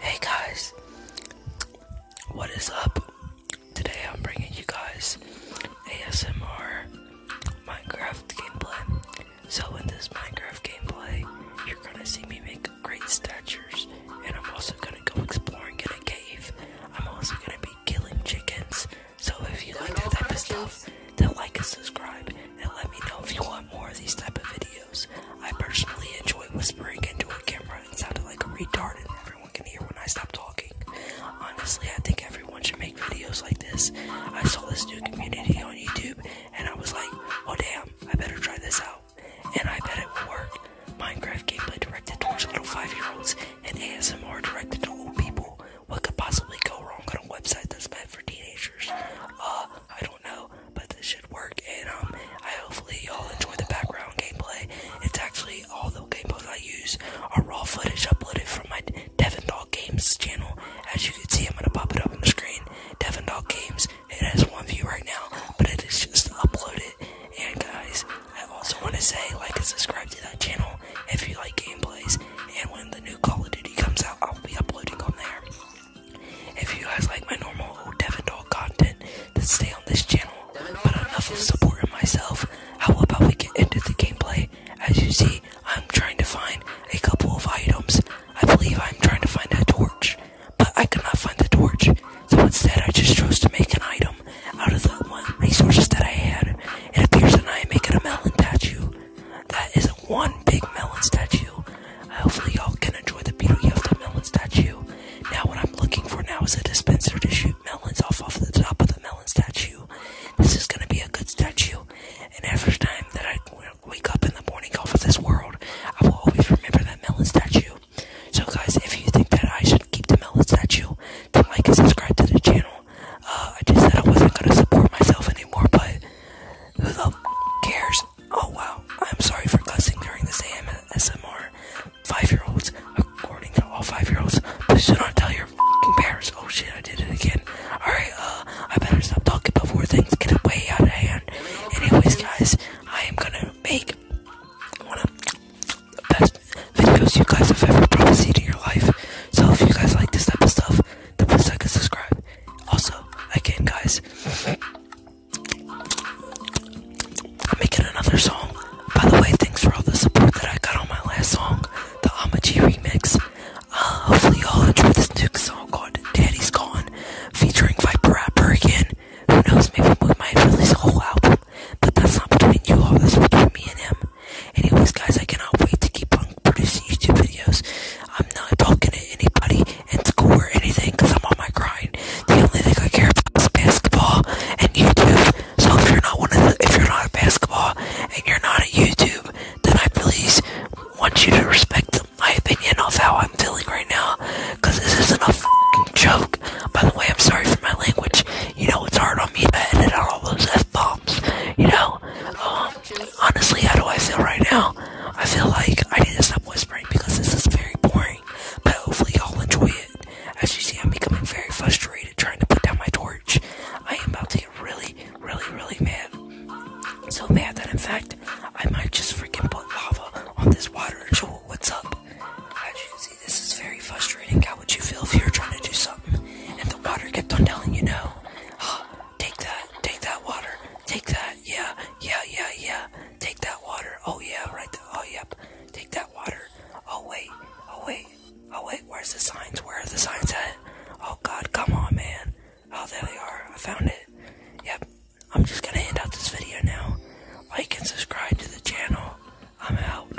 Hey guys, what is up? Today I'm bringing you guys ASMR Minecraft gameplay. So in this Minecraft gameplay, you're gonna see me make great statues, and I'm also gonna go exploring in a cave. I'm also gonna be killing chickens. So if you like that type of stuff, then like and subscribe, and let me know if you want more of these type of videos. I personally enjoy whispering into a camera and sounding like a retard and everyone can hear when I stop talking. Honestly, I think everyone should make videos like this. I saw this new community on YouTube and I was like, "Oh damn, I better try this out. And I bet it will work. Minecraft gameplay directed towards little five-year-olds and ASMR directed to old people. What could possibly go wrong on a website that's meant for teenagers? Uh, I don't know, but this should work and um I hopefully y'all enjoy the background gameplay. It's actually all the gameplays I use are raw footage uploaded from my Devon Dog Games channel. As you can see, I'm gonna pop it up on the screen. Devon Dog Games. It has one view right now, but it is just uploaded. And guys, I also want to say like and subscribe to that channel if you like gameplays. And when the new Call of Duty comes out, I'll be uploading on there. If you guys like my normal old Dog content, then stay on this channel but enough of supporting myself. How about we get into the gameplay? As you see, I'm trying to find a couple of items. I believe I'm trying to find a torch, but I could not find the torch. So instead, I just chose to make an item out of the resources that I had. It appears that I am making a melon statue. That is a one big melon statue. Hopefully, y'all can enjoy the beauty of the melon statue. Now, what I'm looking for now is a dispenser to shoot melons off of the top of the melon statue. This is gonna be a good statue, and every time that I wake up in the morning off of this world, I will always remember that melon statue. So, guys, if you think that I should keep the melon statue, then like and subscribe to the channel. Uh, I just said I wasn't gonna support myself anymore, but who the cares? Oh wow, I'm sorry for cussing during this AM SMR five-year-olds. According to all five-year-olds, but do not tell your parents. Oh shit, I did it again. All right, uh, I better stop talking before things get way out of hand. Anyways, guys, I am gonna make one of the best videos you guys have ever probably seen in your life. So if you guys like this type of stuff, then please like and subscribe. Also, again, guys. I'm making another song. By the way, thanks for all the support that I got on my last song, the Amagi remix. Uh, hopefully y'all enjoy this new song called Daddy's Gone, featuring Viper Rapper again. Who knows, maybe we might release a whole album, but that's not between you all, this is between me and him. Anyways, guys, I cannot wait to keep on producing YouTube videos. I'm not talking to anybody in school or anything because I'm on my grind. The only thing I care about is basketball and YouTube. So if you're not one of the, if you're not a basketball and you're not a YouTube, then I please want you to respect my opinion of how I'm feeling right now because this isn't a fucking joke. By the way, I'm sorry for my language. You know, it's hard on me to edit out all those f bombs. You know, um, honestly, how do I feel right now? I feel like I need to stop whispering because this is very boring. But hopefully, y'all enjoy it. As you see, I'm becoming very frustrated trying to put down my torch. I am about to get really, really, really mad. So mad that, in fact, I might just freaking put lava on this water and show what's up. As you can see, this is very frustrating. How would you feel if you are trying to do something and the water kept on telling you no? Take that, take that water. Take that, yeah, yeah, yeah, yeah. Take that water. Oh yeah, right. There. Oh yep. Take that water. Oh wait, oh wait, oh wait. Where's the signs? Where are the signs at? Oh god, come on, man. Oh, there they are. I found it. Yep. I'm just gonna end out this video now. Like and subscribe to the channel. I'm out.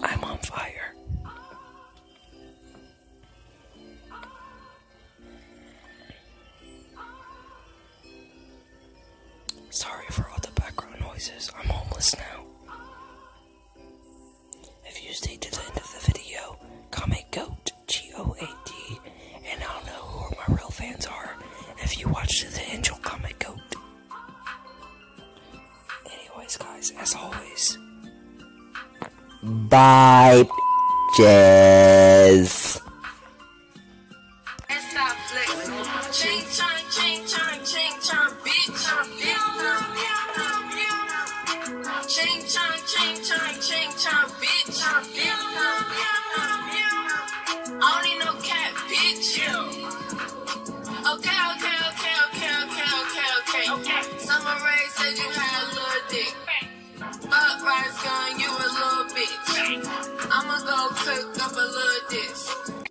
I'm on fire. Sorry for all the background noises. I'm homeless now. If you stay to the end of the video, comment GOAT, G-O-A-T, and I'll know who my real fans are. If you watch to the end, you'll comment GOAT. Anyways, guys, as always, bye, bitches time, bitch. Chain time, chain time, bitch. I don't need no cat, bitch. Okay, okay, okay, okay, okay, okay, okay. okay. Summer Ray said you had a little dick. Fuck rice gun, you a little bitch. I'ma go cook up a little dish.